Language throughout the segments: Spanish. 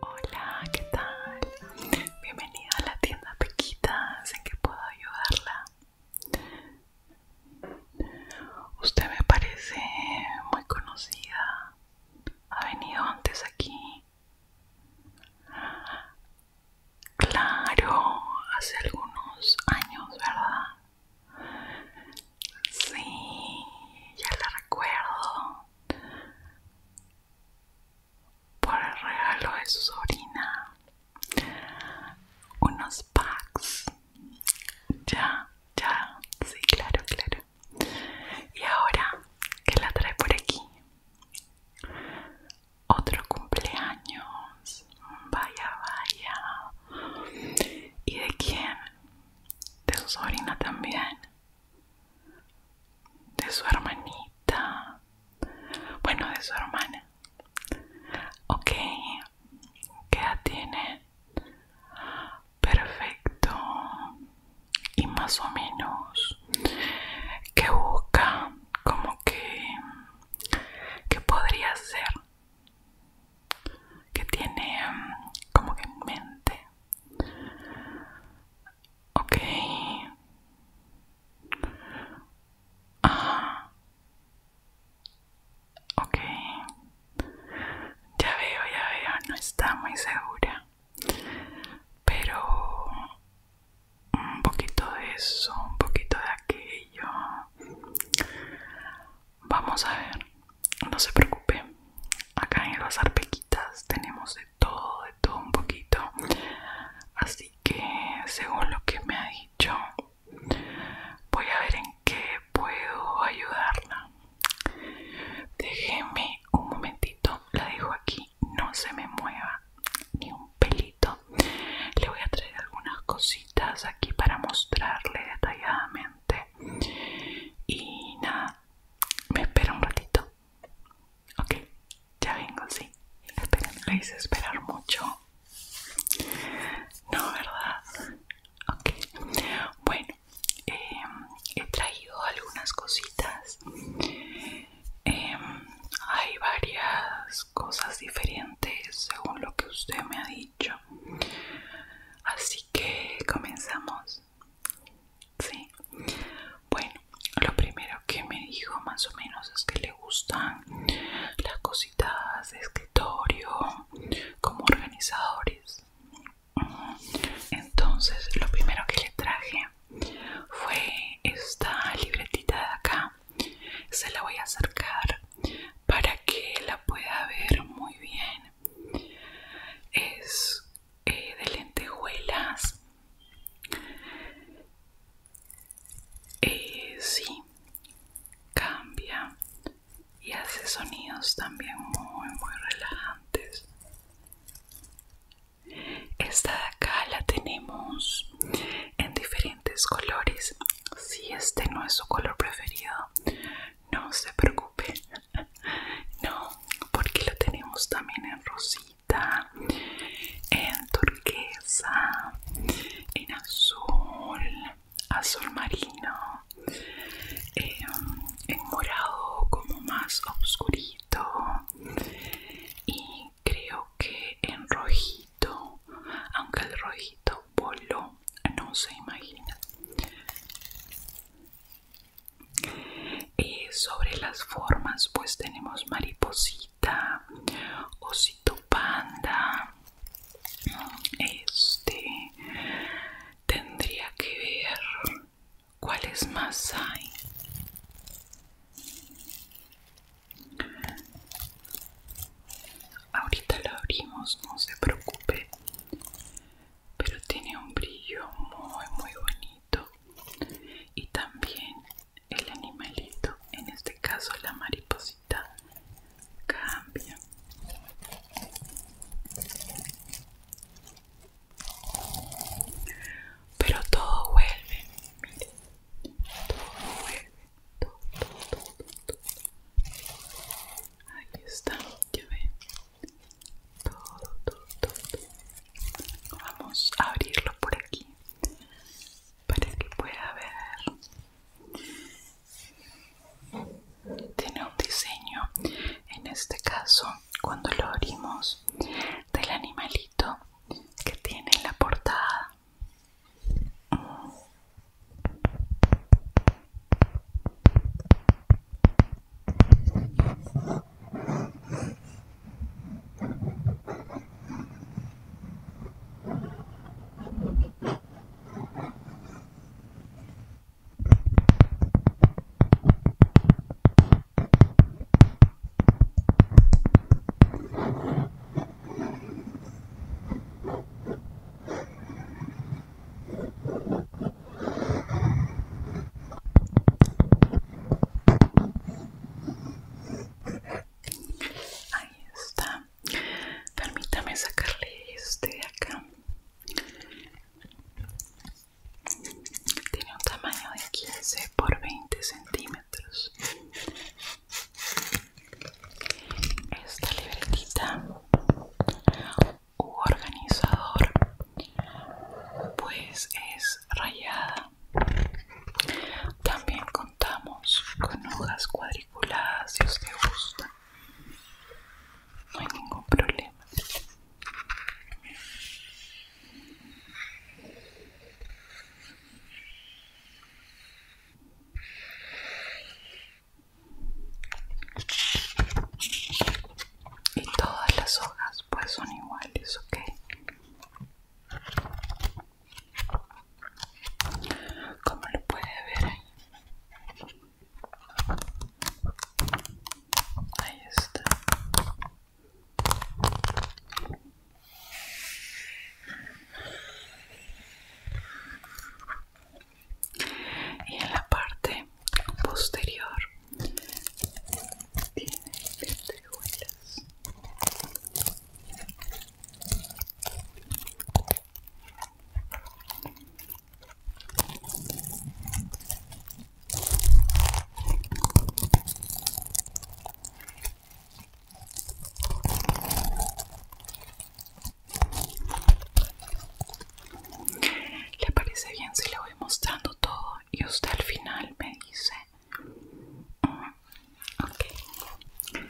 Hola, ¿qué tal? Bienvenida a la tienda Pequita, sé que puedo ayudarla? Usted me parece muy conocida. Ha venido antes aquí. Claro, hace algunos años, ¿verdad? Sí, ya la recuerdo. Por el regalo de su sobrina. Unos packs. Ya, ya, sí, claro, claro. Y ahora que la trae por aquí. Otro cumpleaños. Vaya, vaya. ¿Y de quién? De su sobrina también. De su hermanita. Bueno, de su hermana. Ok. ¿Qué edad tiene? perfecto y más o menos que busca como que que podría ser que tiene mm, como que en mente okay ah ok ya veo ya veo no está muy segura pero un poquito de eso, un poquito de aquello. Vamos a ver, no se preocupe. Acá en las arpequitas tenemos de todo, de todo un poquito. Así que, según lo que me ha dicho, voy a ver en qué puedo ayudarla. Déjeme un momentito, la dejo aquí, no se me mueva ni un pelito. Le voy a traer algunas cositas aquí para mostrarle detalladamente. Y nada, me espera un ratito. Ok, ya vengo, sí. esperar mucho. No, ¿verdad? Ok, bueno, Em, he traído algunas cositas em, hay varias cosas diferentes según lo que usted me ha dicho así que comenzamos sí bueno lo primero que me dijo más o menos es que le gustan las cositas de escritorio como organizadores entonces, lo primero que le traje fue esta libretita de acá. Se la voy a acercar para que la pueda ver muy bien. Es eh, de lentejuelas. Eh, sí, cambia y hace sonidos también muy, muy relajantes. Esta de acá la tenemos en diferentes colores. Si este no es su color preferido, no se preocupe. No, porque lo tenemos también en rosita, en turquesa, en azul, azul marino. Em, en morado como más oscurito y creo que en rojito aunque el rojito polo no se imagina y sobre las formas pues tenemos mariposita osito panda este tendría que ver ¿Cuáles más hay? Ahorita lo abrimos, no se preocupe. Pero tiene un brillo muy, muy bonito. Y también el animalito, en este caso la mariposita, cambia. Pero todo vuelve, miren, todo vuelve, todo, todo, todo, todo. Aquí está, ya ven. Todo, todo, todo, todo. Vamos a abrirlo por aquí para que pueda ver. Tiene un diseño en este caso cuando lo abrimos del animalito que tiene en la portada Ahí está. Permítame sacarle este de acá. Tiene un tamaño de 15 por 20 centímetros. Esta libretita u organizador pues es rayada. También contamos con hojas cuadriculadas si os gusta no hay ningún problema. Y todas las hojas pues son iguales, ¿ok? Como lo puede ver ahí. Ahí está. Y en la parte posterior tiene huellas. ¿Le parece bien si le voy mostrando todo y usted al final me dice? Mm, ok.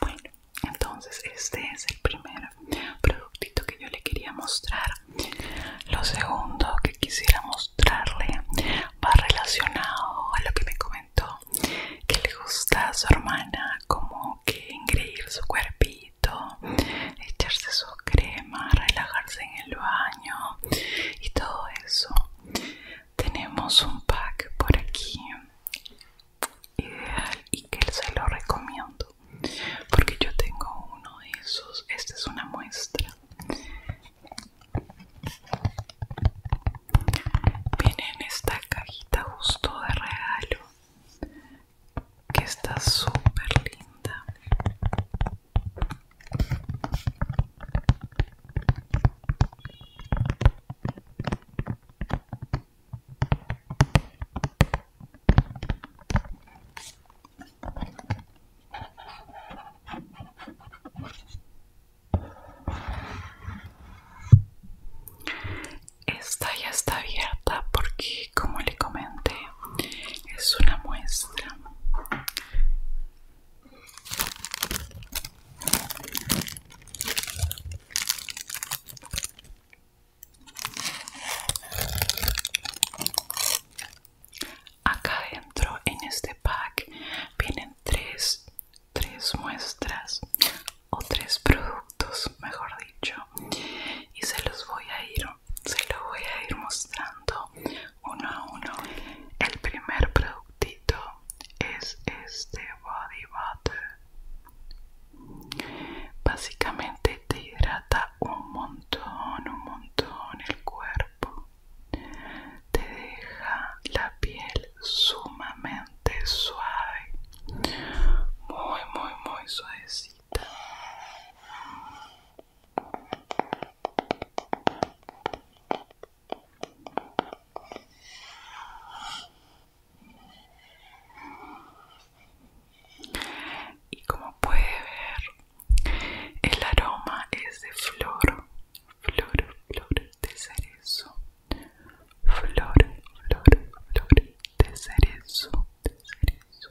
Bueno, entonces este es el primer productito que yo le quería mostrar. Lo segundo que quisiera mostrarle va relacionado a lo que me comentó, que le gusta a su hermana como que engreír su cuerpito, echarse su crema, relajarse en el baño y todo eso. Tenemos un pack por aquí ideal y que se lo recomiendo porque yo tengo uno de esos esta es una muestra viene en esta cajita justo de regalo que está súper linda esta ya está abierta porque, como le comenté, es una muestra acá adentro, en este pack vienen tres, muestras o tres productos mejor dicho y se los voy a ir se los voy a ir mostrando uno a uno el primer productito es este body butter básicamente te hidrata un montón, un montón el cuerpo. Te deja la piel sumamente suave. Muy, muy, muy suavecita. Y como puede ver, el aroma es de flor, flor, flor de cerezo, flor, flor, flor de cerezo, de cerezo.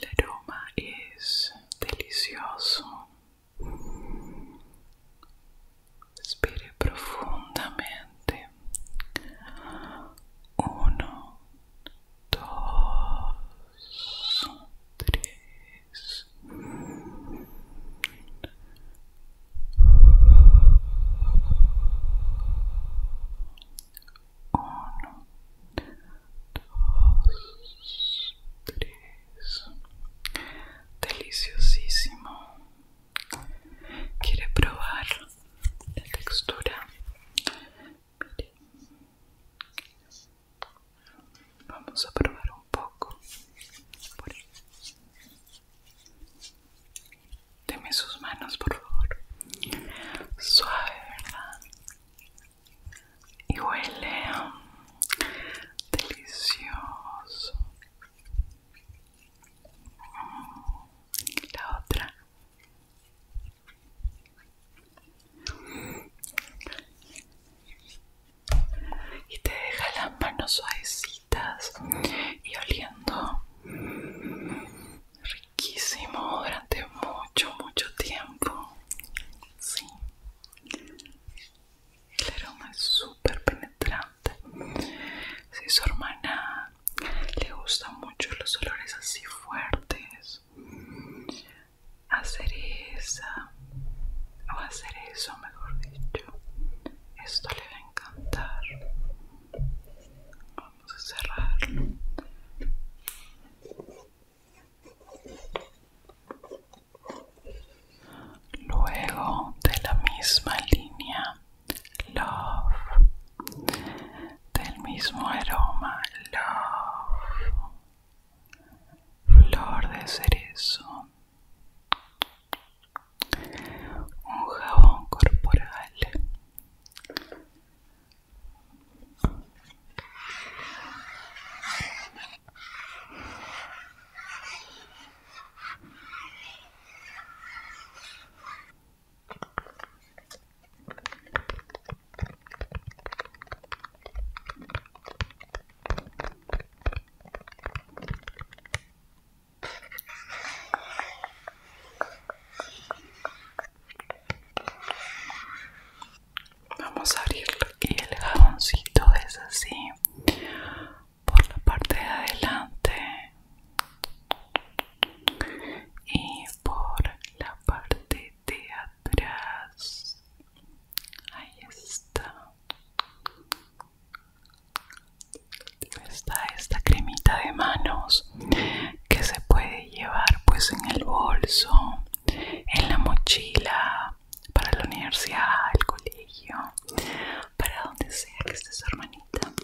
El aroma é delicioso. Respire profundamente. Uno, dos, tres. Uno, dos, tres. Deliciosísimo quiere probar la textura vamos a probar un poco deme sus manos por favor suave verdad y huele um, delicioso la otra y te deja las manos suavecitas y oliendo riquísimo durante mucho mucho tiempo sí el aroma es súper penetrante si su hermana le gustan mucho los olores así fuertes, hacer cereza o a cerezo, mejor dicho, esto le va a encantar. Vamos a cerrarlo. Luego de la misma línea love del mismo aroma love flor de cerezo un jabón corporal Vamos a abrirlo aquí el jaboncito es así por la parte de adelante y por la parte de atrás ahí está está esta cremita de manos que se puede llevar pues en el bolso en la mochila para la universidad el colegio para donde sea que estés hermanita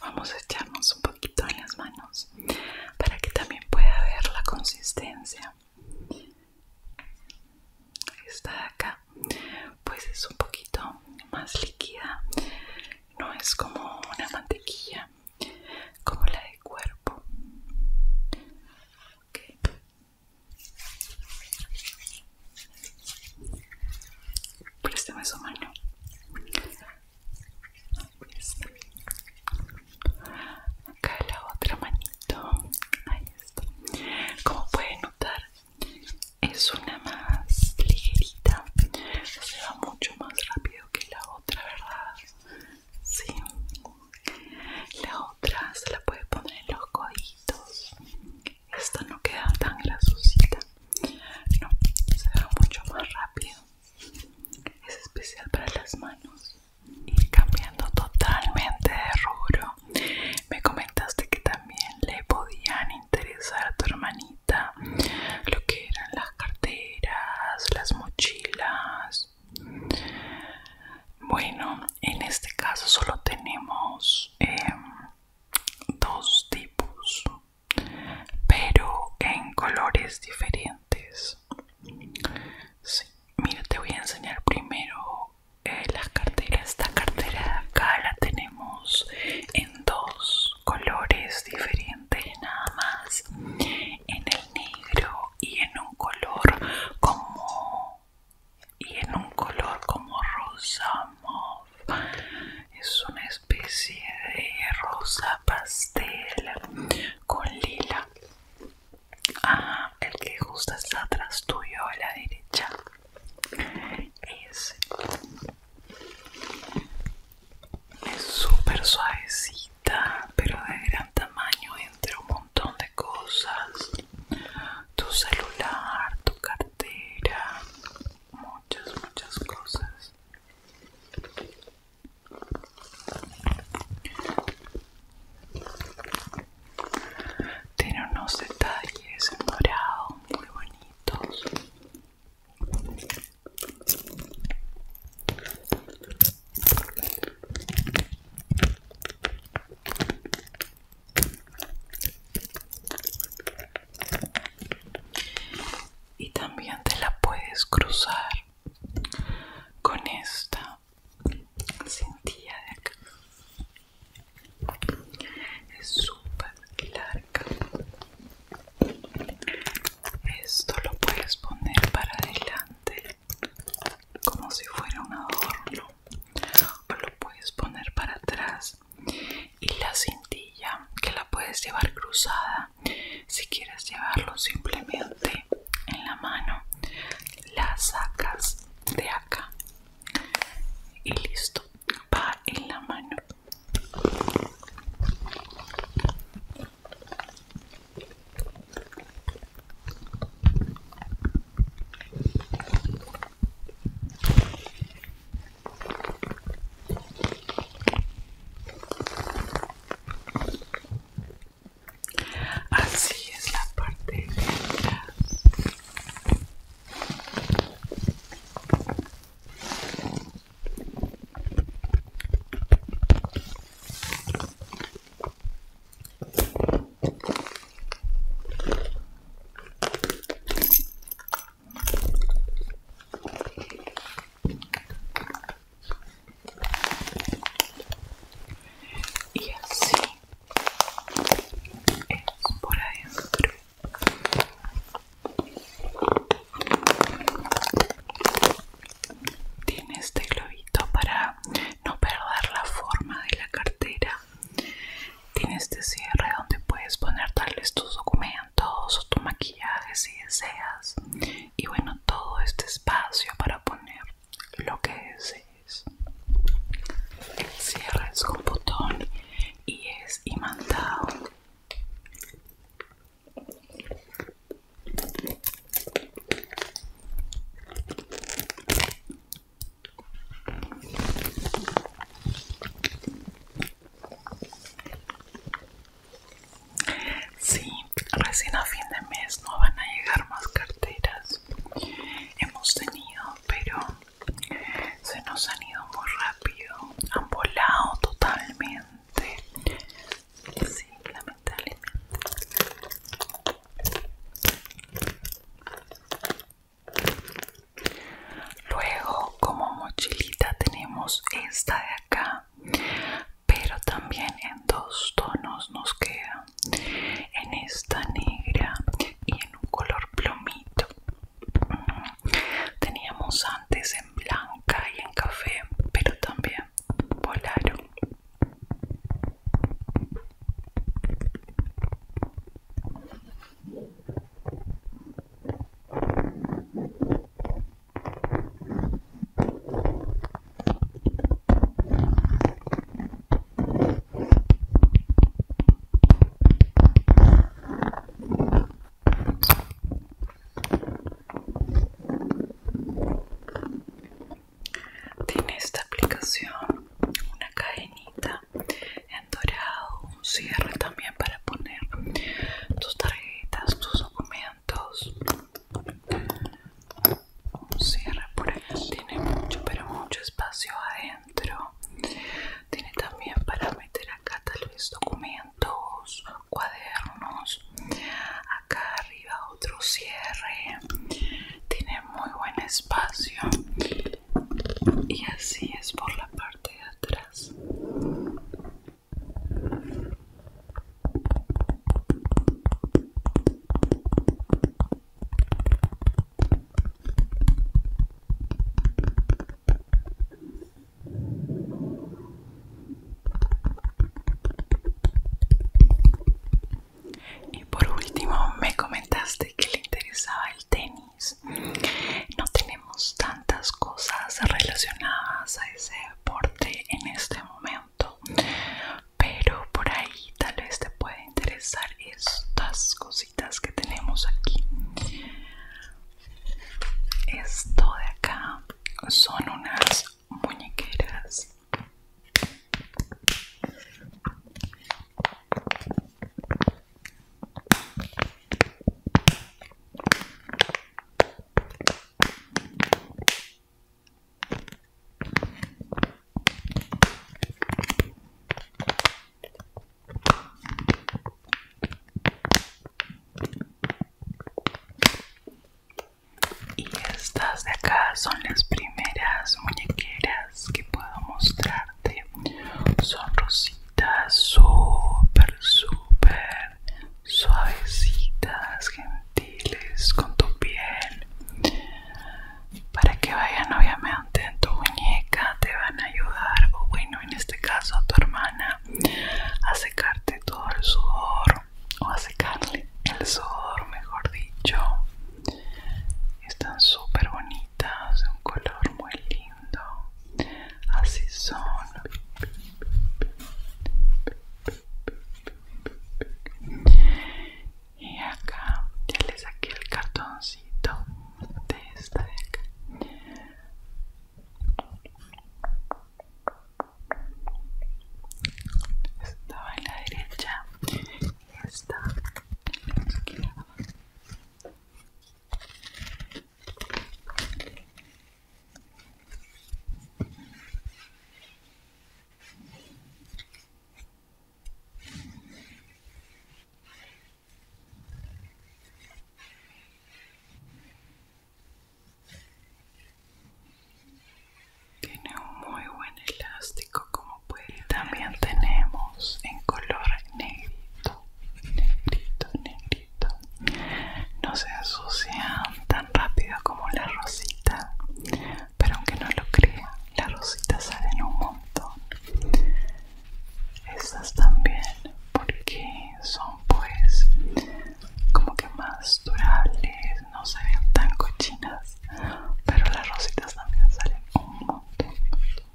Vamos a echarnos un poquito en las manos para que también pueda ver la consistencia. Esta de acá pues es un poquito más líquida, no es como una mantequilla como la de cuerpo más su mano. Acá la otra manito. Ahí está. Como pueden notar, es una más ligerita. Se va mucho más rápido que la otra, ¿verdad? Sí. La otra se la puede poner en los coditos esta no queda tan grasosita no, se ve mucho más rápido es especial para las manos y cambiando totalmente de rubro me comentaste que también le podían interesar a tu hermanita lo que eran las carteras, las mochilas bueno, en este caso solo tenemos em, dos tipos pero en colores diferentes sí. mira te voy a enseñar primero la eh, las carteras esta cartera de acá la tenemos en dos colores diferentes nada más en el negro y en un color como y en un color como rosa mauve es una especie de rosa pastel con lila ah, el que justo está atrás tuyo a la derecha es es súper suavecita pero de gran tamaño entre un montón de cosas tu celular, tu cartera muchas, muchas cosas. Tiene unos detalles en dorado muy bonitos y también te la puedes cruzar con esta cintilla de acá es súper larga esto lo puedes poner para adelante como si fuera un adorno o lo puedes poner para atrás y la cintilla que la puedes llevar cruzada si quieres llevarlo simplemente en la mano la sacas de acá y listo va en la mano Así es la parte de atrás y así es por adentro tiene este globito para no perder la forma de la cartera tiene este cierre donde puedes poner tal tus documentos o tu maquillaje si deseas. Y bueno, todo este espacio para poner lo que desees. El cierre es con botón y es imantado. Sí, recién a fin de mes no van a llegar más carteras. Hemos tenido, pero se nos han ido muy rápido. Han volado totalmente. Sí, lamentablemente. Luego como mochilita tenemos esta de acá, pero también en dos tonos nos queda, en esta negra y en un color plomito. Teníamos antes en blanca y en café, pero también volaron. Tiene esta aplicación una cadenita en dorado, un cierre también para poner tus tarjetas, tus documentos. Un cierre por aquí, tiene mucho, pero mucho espacio adentro. Tiene también para meter acá tal vez documentos, cuadernos. Acá arriba otro cierre. Tiene muy buen espacio y así es por la parte de atrás y por último me comentaste que le interesaba el tenis no tenemos tantas cosas relacionadas a ese deporte en este momento pero por ahí tal vez te puede interesar estas cositas que tenemos aquí esto de acá son unas muñequeras y estas de acá son las primeras muñequeras que puedo mostrar son rositas super, súper suavecitas, gentiles con tu piel. Para que vayan obviamente en tu muñeca, te van a ayudar, o bueno, en este caso a tu hermana, a secarte todo el sudor o a secarle el sudor, mejor dicho. Están súper bonitas, un color muy lindo. Así son. Y acá ya le saqué el cartoncito de esta de acá. Esta va en la derecha. Esta en la izquierda. Tiene un muy buen elástico como también tenemos en color negrito negrito negrito no se ensucian tan rápido como la rosita pero aunque no lo crean las rositas salen un montón estas también porque son pues como que más durables no se ven tan cochinas pero las rositas también salen un montón,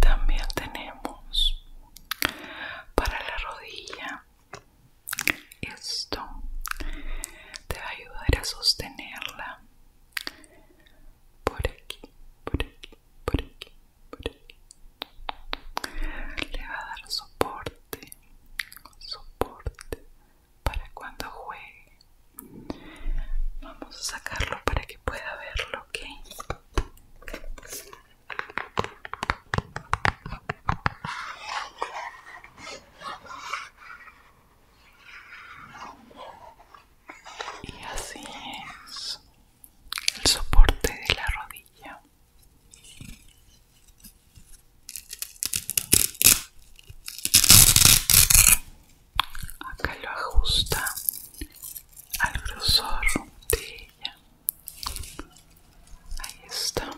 También tenemos para la rodilla. Esto te va a ayudar a sostenerla por aquí, por aquí, por aquí, por aquí. Le va a dar soporte, soporte, para cuando juegue. Vamos a sacarlo para que pueda verlo, ¿ok? Y así es el soporte de la rodilla acá lo ajusta al grosor de ella ahí está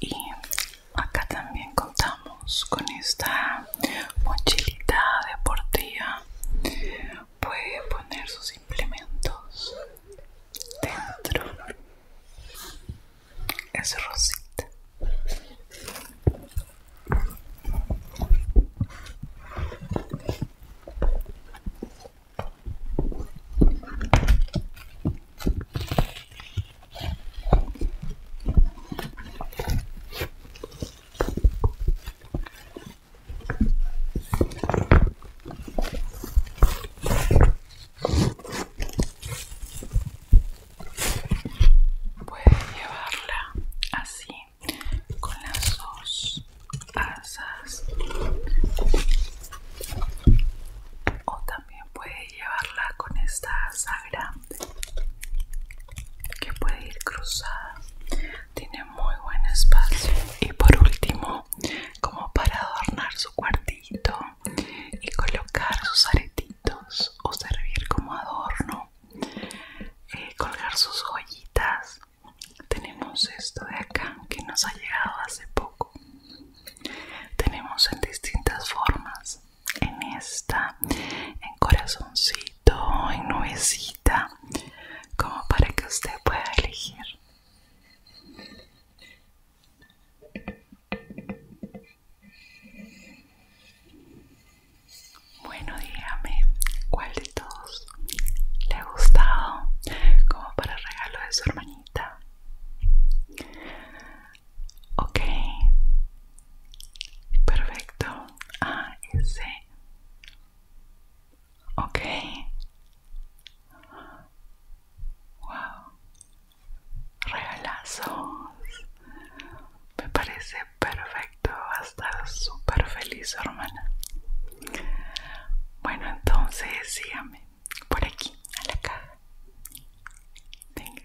y acá también contamos con esta mochilita deportiva puede poner sus implementos dentro es rosita Puede llevarla así con las dos asas o también puede llevarla con esta asa que puede ir cruzada tiene muy buen espacio y por último como para adornar su cuartito y colocar sus aretitos o servir como adorno eh, colgar sus joyitas tenemos esto de acá que nos ha llegado hace poco tenemos en distintas formas en esta, en corazoncito, en nubecita, como para que usted pueda elegir. Bueno, dígame cuál de todos le ha gustado como para regalo de su hermanita. Ok. Perfecto. A, C Ok. Wow. Regalazos. Me parece perfecto. hasta estar súper feliz, hermana. Bueno, entonces sígame por aquí, a la caja. Venga.